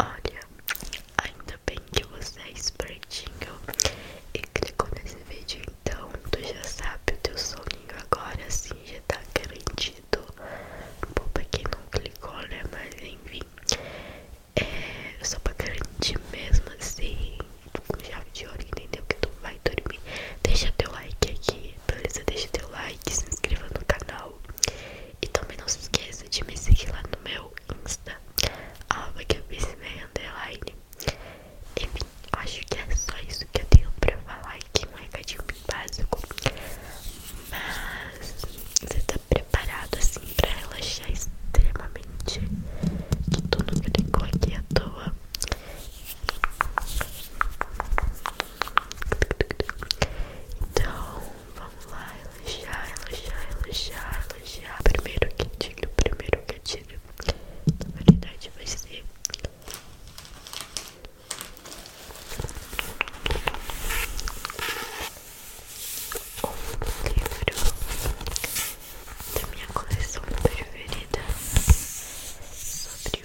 Olha, ainda bem que você é espertinho e clicou nesse vídeo, então tu já sabe, o teu soninho agora sim já tá garantido. Bom, pra quem não clicou, né? Mas enfim, é só pra garantir mesmo assim, com chave de ouro, entendeu? Que tu vai dormir. Deixa teu like aqui por beleza? Deixa seu like, se inscreva no canal. E também não se esqueça de me seguir lá no meu Insta, arroba que eu fiz underline. Enfim, acho que é só isso que eu tenho pra falar aqui, um recadinho básico. Mas você tá preparado assim pra relaxar extremamente? Que tu nunca ficou aqui à toa. Então, vamos lá, elogiar, elogiar, elogiar, elogiar. Primeiro gatilho, primeiro gatilho. a verdade, vai ser. Um livro da minha coleção preferida sobre o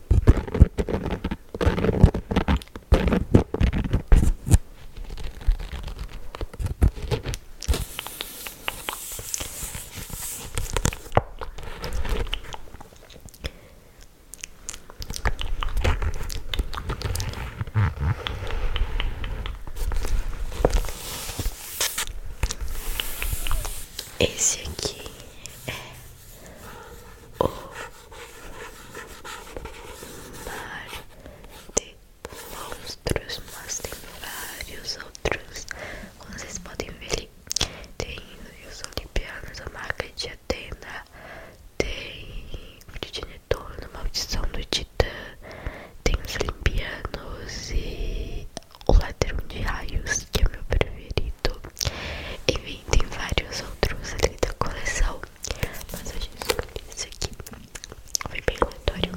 Esse aqui é o mar de monstros, mas tem vários outros, como vocês podem ver ali. Tem os Olimpianos, a marca de Atena, tem o Titanitorno, a Maldição do Titã, tem os Olimpianos e o Ladrão de Raios, que é meu preferido e vem tem vários outros ali da coleção mas eu descobri isso aqui foi bem aleatório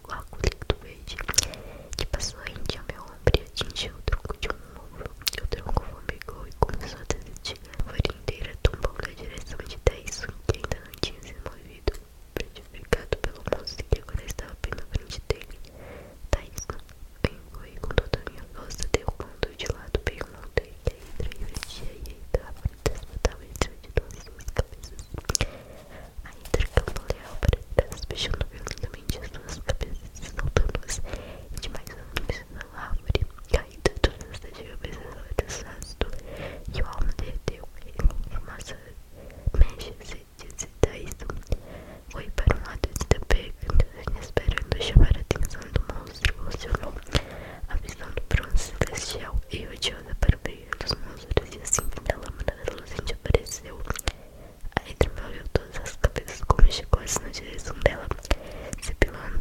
algo líquido verde que passou rente ao meu ombro e atingiu o tronco de um morro. O tronco foi formigou e começou a desatigar. A folha inteira tombou na direção de Taisu, que ainda não tinha se movido, petrificado pelo monstro que agora estava bem na frente dele. Taisu engoi com toda a minha força, derrubando de lado bem um monte que a e o dia e a hidra desbotavam em cima de duas suas cabeças. A intercalpoleal transmitindo violentamente as duas cabeças soltando-as e de mais um pisando na árvore, caindo todas as cabeças ácido e o alma derreteu em uma massa mexe-se de é isso. Foi para um lado de tapete, assim esperando chamar a atenção do monstro, emocionou a visão do bronze celestial e odiosa para o meio monstros e assim que a lâmina reluzente apareceu. A Hydra moveu todas as cabeças como chicotes na direção dela, sepilando.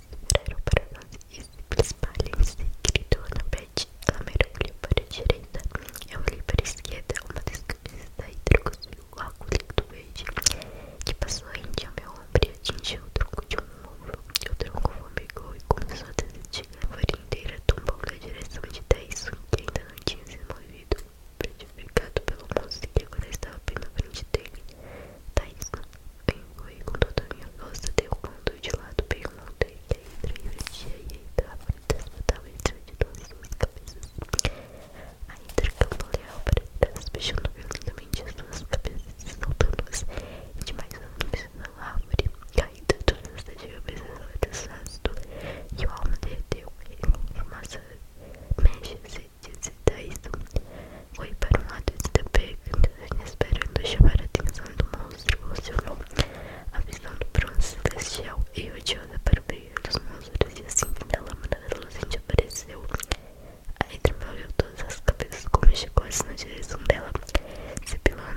entraram para nós e espalhem-se, gritou Annabeth. Ela mergulhou para a direita, eu olhei para a esquerda, uma descresta e trouxe o água líquido verde que passou rente ao meu ombro e atingiu o tronco de um ombro. O tronco formigou e começou a desistir. A folha inteira tombou na direção de Tyson, que ainda não tinha se movido, prejudicado pelo monstro que agora estava bem na frente dele. Tyson Engoei com toda a minha força, derrubando de lado, perguntei que a hidra invertia e a hidra transmutava em cima de cabeças. A hidra camboleava para fechando violentamente as duas cabeças e soltando-as. E de mais anos na árvore, caída todas as cabeças ao desastre, e o alma derreteu em uma massa mechas 2016 foi para um lado de Tebek, esperando chamar a atenção do monstro Luciano, avisando para o celestial e odiosa para o brilho dos monstros, e assim que a lâmina reluzente apareceu, a entremoveu todas as cabeças como chicotes na direção dela, sepilando.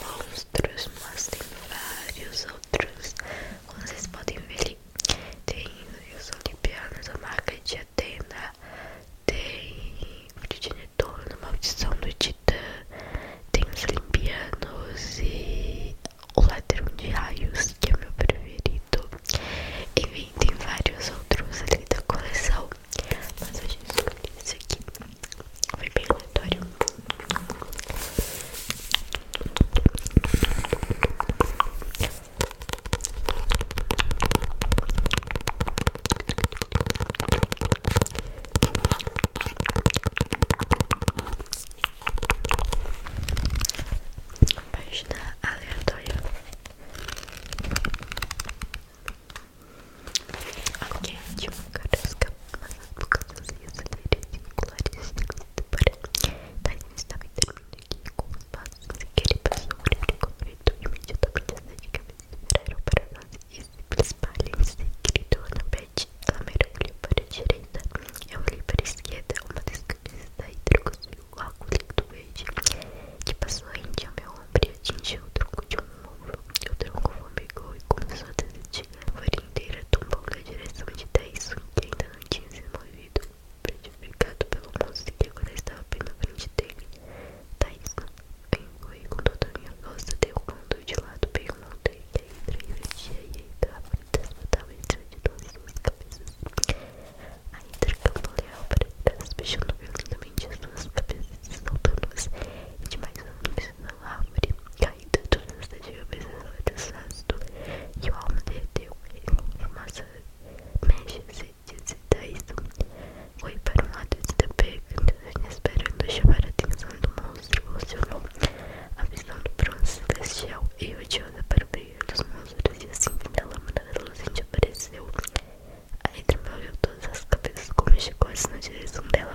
monstros, mas tem vários outros. Como vocês podem ver ali, tem os Olimpianos, a marca de Atena, tem o Titanitorno, Maldição do Titã, tem os Olimpianos e o Ladrão de Raios, que é o meu preferido. Enfim, tem vários outros ali da coleção, mas eu já escolhi esse aqui. Foi bem aleatório. Página aleatória. Ok, de uma carusca. Colocando tipo, os rios olheiros vinculares para Tyson estava intervindo aqui é com os passos em que ele passou o livro convento imediatamente as dedicamentos viraram para não e simples palhas gritou Lambert ela mergulhou para a direita eu olhei para a esquerda uma das não da hidra cuspiu algo líquido verde que passou rente ao meu ombro e atingiu o tronco de um morro o tronco formigou e começou a desistir a folha inteira tombou na direção de Taís, que ainda não tinha se movido, prejudicado pelo monstro que agora estava bem na frente dele. Taisun engoei com toda a minha força, derrubando de lado bem o monte e tá, a hidra invertia e a hidra transmutava em cima de duas suas cabeças. A hidra camboleava para trás, fechando violentamente as duas cabeças e soltando-as, e de mais um na árvore. Caiu caído todas as diversas ácido e o alma derreteu em umas mechas e isto. Foi para um lado de tapete, esperando chamar a atenção do monstro, funcionou a visão do bronze celestial e o para o brilho dos monstros e assim da lâmina da luzente apareceu. A Edna olhou todas as cabeças como chegou na direção dela,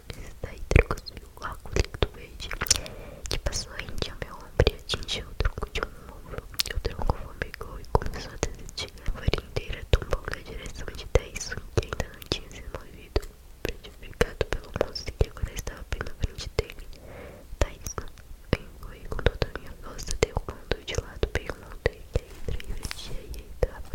cristal introduziu logo o líquido verde que passou rente ao meu ombro atingiu o tronco de um ombro. O tronco formigou e começou a desistir. A folha inteira tombou na direção de Tyson, que ainda não tinha se movido, frutificado pelo monstro que agora estava bem na frente dele. Tyson engoliu com toda a minha força, derrubando de lado bem longe da hidra e aí tá. entrava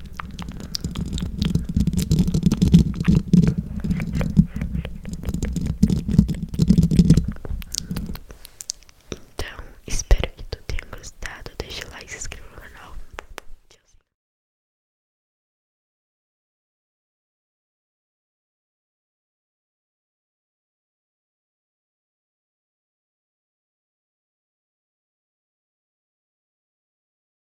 Então, espero que tu tenha gostado. Deixa o like, se inscreva no canal. Tchau.